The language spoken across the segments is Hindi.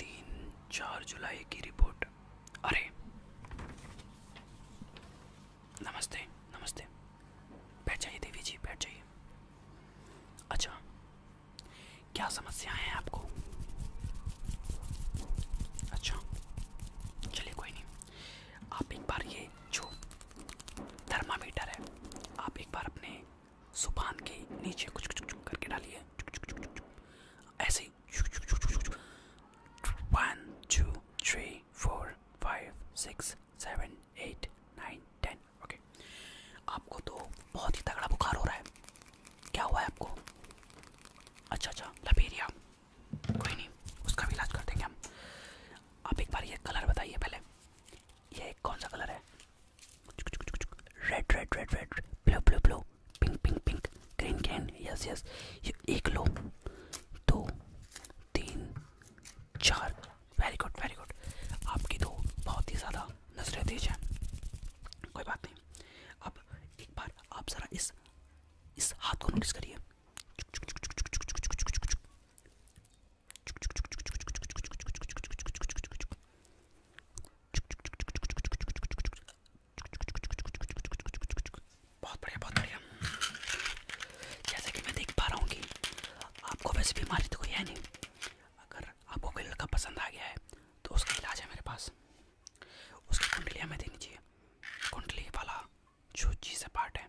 तीन चार जुलाई की रिपोर्ट अरे नमस्ते नमस्ते बैठ जाइए देवी जी बैठ जाइए अच्छा क्या समस्याएं हैं आपको अच्छा चलिए कोई नहीं आप एक बार ये जो थर्मामीटर है आप एक बार अपने सुबान के नीचे कुछ कुछ करके डालिए ऐसे one two three four five six seven eight nine ten okay आपको तो बहुत ही तगड़ा बुखार हो रहा है क्या हुआ है आपको अच्छा अच्छा लपेरिया कोई नहीं उसका भी इलाज कर देंगे हम आप एक बार ये कलर बताइए पहले ये कौन सा कलर है red red red red blue blue blue pink pink pink green green yes yes ये एक लो दो तीन चार वेरी गुड वेरी गुड आपकी तो बहुत ही ज़्यादा नजरें तेज हैं कोई बात नहीं अब एक बार आप ज़रा इस इस हाथ को नोटिस करिए बहुत बढ़िया बहुत बढ़िया जैसा कि मैं देख पा रहा हूँ कि आपको वैसे बीमारी तो कोई है नहीं अगर आपको कोई लड़का पसंद आ गया है तो उसका इलाज है मेरे पास उसकी कुंडली हमें देनी चाहिए कुंडली वाला जो चीज़ पार्ट है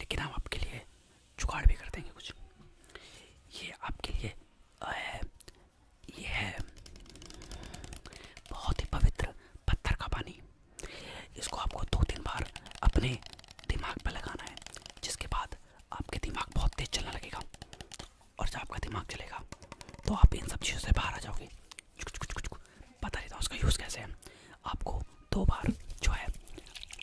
लेकिन हम आपके लिए जुगाड़ भी कर देंगे कुछ ये आपके लिए है ये है बहुत ही पवित्र पत्थर का पानी इसको आपको दो तीन बार अपने दिमाग पर लगाना है जिसके बाद आपके दिमाग बहुत तेज़ चलने लगेगा और जब आपका दिमाग चलेगा तो आप इन सब चीज़ों से बाहर आ जाओगे कुछ कुछ कुछ पता नहीं था उसका यूज़ कैसे है आपको दो बार जो है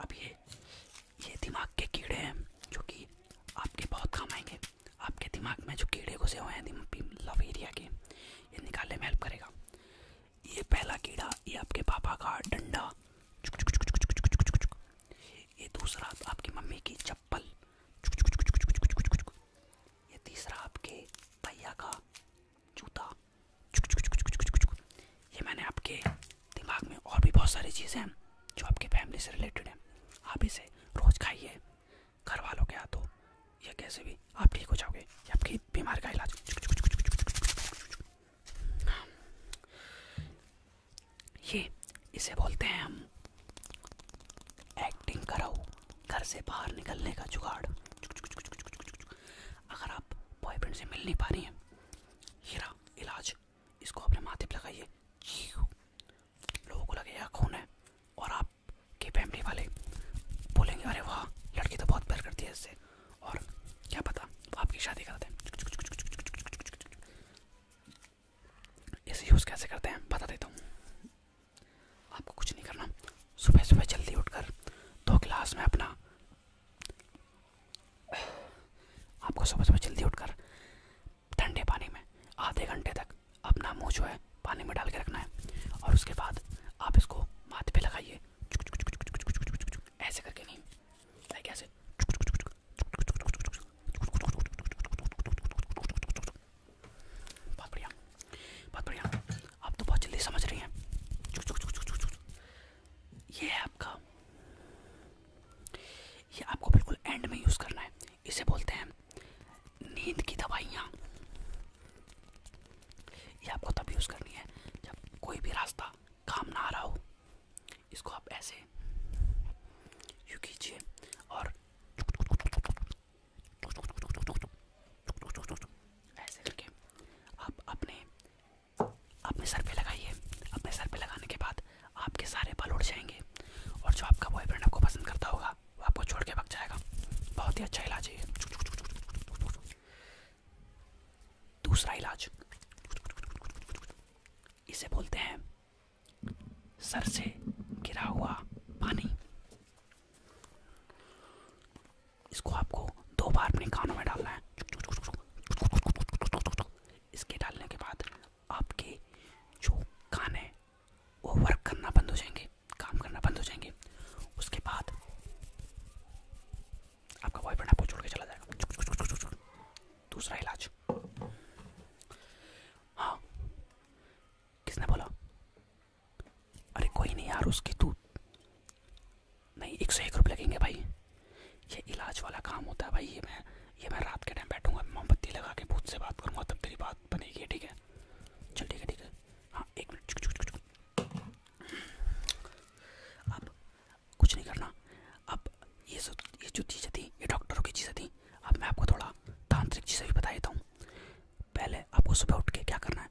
अब ये ये दिमाग के कीड़े हैं जो कि आपके बहुत काम आएंगे आपके दिमाग में जो कीड़े घुसे हुए हैं लव एरिया के ये निकालने में हेल्प करेगा ये पहला कीड़ा ये आपके पापा का डंडा चुक चुक चुक चुक चुक चुक चुक ये दूसरा आपकी मम्मी की चप्पल चुक चुक चुक चुक चुक चुक चुक ये तीसरा आपके भैया का जूता ये मैंने आपके दिमाग में और भी बहुत सारी चीज़ें हैं जो आपके फैमिली से रिलेटेड हैं आप इसे रोज़ खाइए घर वालों के हाथों या कैसे भी आप ठीक हो जाओगे ये आपकी बीमारी का इलाज ये इसे बोलते हैं हम एक्टिंग करो घर से बाहर निकलने का जुगाड़ अगर आप बॉयफ्रेंड से मिल नहीं पा रही हैं हीरा इलाज इसको अपने माथे पर लगाइए लोगों को लगे यार खून है और आपके फैमिली वाले बोलेंगे अरे वाह लड़की तो बहुत प्यार करती है इससे और क्या पता आपकी शादी करते हैं इसे यूज़ कैसे करते हैं बता देता हूँ आपको कुछ नहीं करना सुबह सुबह जल्दी उठकर दो गिलास में अपना आपको सुबह सुबह जल्दी उठकर ठंडे पानी में आधे घंटे तक अपना मुँह जो है पानी में डाल के रखना है और उसके बाद आप इसको माथे पे लगाइए ऐसे करके नहीं लाइक ऐसे बहुत बढ़िया बहुत बढ़िया आप तो बहुत जल्दी समझ रही हैं ये है आपका ये आपको बिल्कुल एंड में यूज़ करना है इसे बोलते हैं नींद की दवाइयाँ ये आपको तब यूज़ करनी है जब कोई भी रास्ता काम ना आ रहा हो इसको आप ऐसे यू कीजिए और ऐसे करके आप अपने अपने सर पे लगाइए अपने सर पे लगाने के बाद आपके सारे बाल उड़ जाएंगे और जो आपका बॉयफ्रेंड आपको पसंद करता होगा वो आपको छोड़ के भाग जाएगा बहुत ही अच्छा इलाज है दूसरा इलाज इसे बोलते हैं सर से गिरा हुआ पानी इसको आपको दो बार अपने कानों में डालना है इसके डालने के बाद आपके जो कान है वो वर्क करना बंद हो जाएंगे काम करना बंद हो जाएंगे उसके बाद आपका बॉयफ्रेंड आपको छोड़ के चला जाएगा दूसरा इलाज हाँ किसने बोला अरे कोई नहीं यार उसकी तू नहीं एक सौ एक रुपये लगेंगे भाई ये इलाज वाला काम होता है भाई ये मैं ये मैं रात के टाइम बैठूंगा मोमबत्ती लगा के भूत से बात करूँगा तब तेरी बात बनेगी ठीक है चल ठीक है ठीक है हाँ एक मिनट अब कुछ नहीं करना अब ये सब ये जो चीज़ें थी ये डॉक्टरों की चीज़ें थी अब मैं आपको थोड़ा तांत्रिक चीज़ें भी बता देता हूँ पहले आपको सुबह उठ के क्या करना है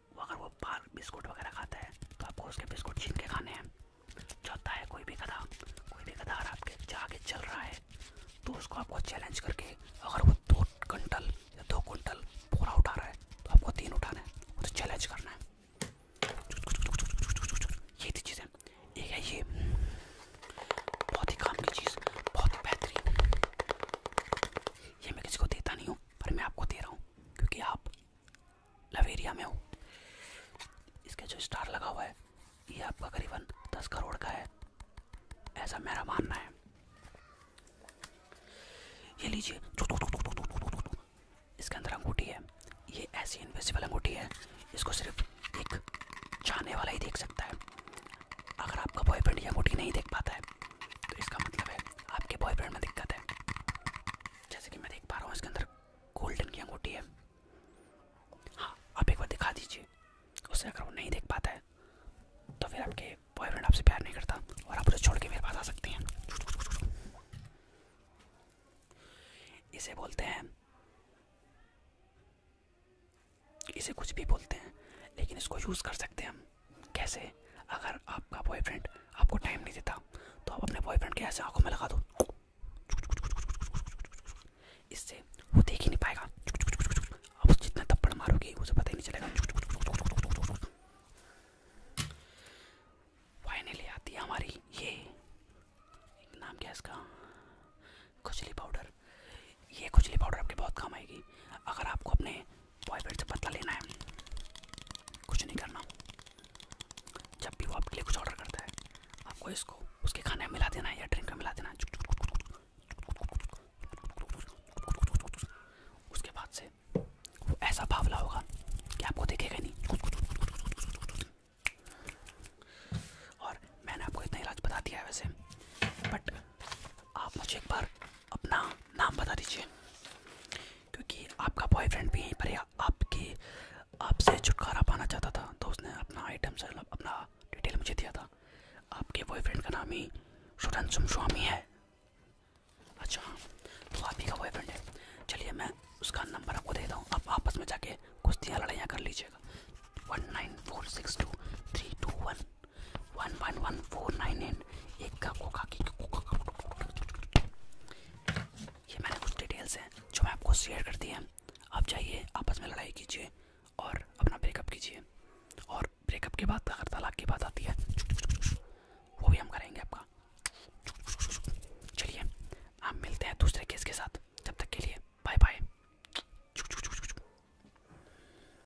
वो अगर वो बाहर बिस्कुट वगैरह खाता है तो आपको उसके बिस्कुट छीन के खाने हैं चौथा है कोई भी गधा कोई भी गधा अगर आपके जाके चल रहा है तो उसको आपको चैलेंज करके अगर वो दो कंटल या दो कुंटल पूरा उठा रहा है तो आपको तीन उठाना है उसे तो चैलेंज करना है ये थी चीज़ें एक है ये बहुत ही काम की चीज़ बहुत ही बेहतरीन ये मैं किसी को देता नहीं हूँ पर मैं आपको दे रहा हूँ क्योंकि आप लवेरिया में हो इसका जो स्टार लगा हुआ है ये आपका करीबन दस करोड़ का है ऐसा मेरा मानना है ये लीजिए इसके अंदर अंगूठी है ये ऐसी इन्वेसिबल अंगूठी है इसको सिर्फ एक चाहने वाला ही देख सकता है अगर आपका बॉयफ्रेंड ये अंगूठी नहीं देख पाता है तो इसका मतलब है आपके बॉयफ्रेंड में दिक्कत है जैसे कि मैं देख पा रहा हूँ इसके अंदर गोल्डन की अंगूठी है हाँ आप एक बार दिखा दीजिए उसे अगर वो नहीं देख पाता है तो फिर आपके बॉयफ्रेंड आपसे प्यार नहीं करता और आप उसे छोड़ के मेरे पास आ सकती हैं इसे बोलते हैं इसे कुछ भी बोलते हैं लेकिन इसको यूज़ कर सकते हैं हम कैसे अगर आपका बॉयफ्रेंड आपको टाइम नहीं देता तो आप अपने बॉयफ्रेंड के ऐसे आंखों में लगा दो इससे वो देख ही नहीं पाएगा आप जितना थप्पड़ मारोगे उसे पता ही नहीं चलेगा फाइनली आती है हमारी ये नाम क्या इसका खुजली पाउडर ये खुजली पाउडर आपके बहुत काम आएगी अगर आपको अपने बॉयफ्रेंड से बदला लेना है कुछ नहीं करना जब भी वो आपके लिए कुछ ऑर्डर करता है आपको इसको उसके खाने में मिला देना है या ड्रिंक में मिला देना है उसके बाद से वो ऐसा भावला होगा कि आपको देखेगा नहीं और मैंने आपको इतना इलाज बता दिया है वैसे बट आप मुझे एक बार अपना नाम बता दीजिए क्योंकि आपका बॉयफ्रेंड भी यहीं पर है आपकी आपसे छुटकारा पाना चाहता था तो उसने अपना आइटम से अपना डिटेल मुझे दिया था आपके बॉयफ्रेंड का नाम ही शुरन स्वामी है अच्छा तो आप ही का बॉयफ्रेंड है चलिए मैं उसका नंबर आपको दे दूँ आप आपस में जाके कुश्तियाँ लड़ाइयाँ कर लीजिएगा one nine four six two three two one one one one four nine eight एक का कोका की ये मैंने कुछ डिटेल्स हैं जो मैं आपको शेयर करती हैं आप जाइए आपस में लड़ाई कीजिए और अपना ब्रेकअप कीजिए और ब्रेकअप के बाद अगर तलाक की बात आती है वो भी हम करेंगे आपका चलिए हम मिलते हैं दूसरे केस के साथ जब तक के लिए बाय बाय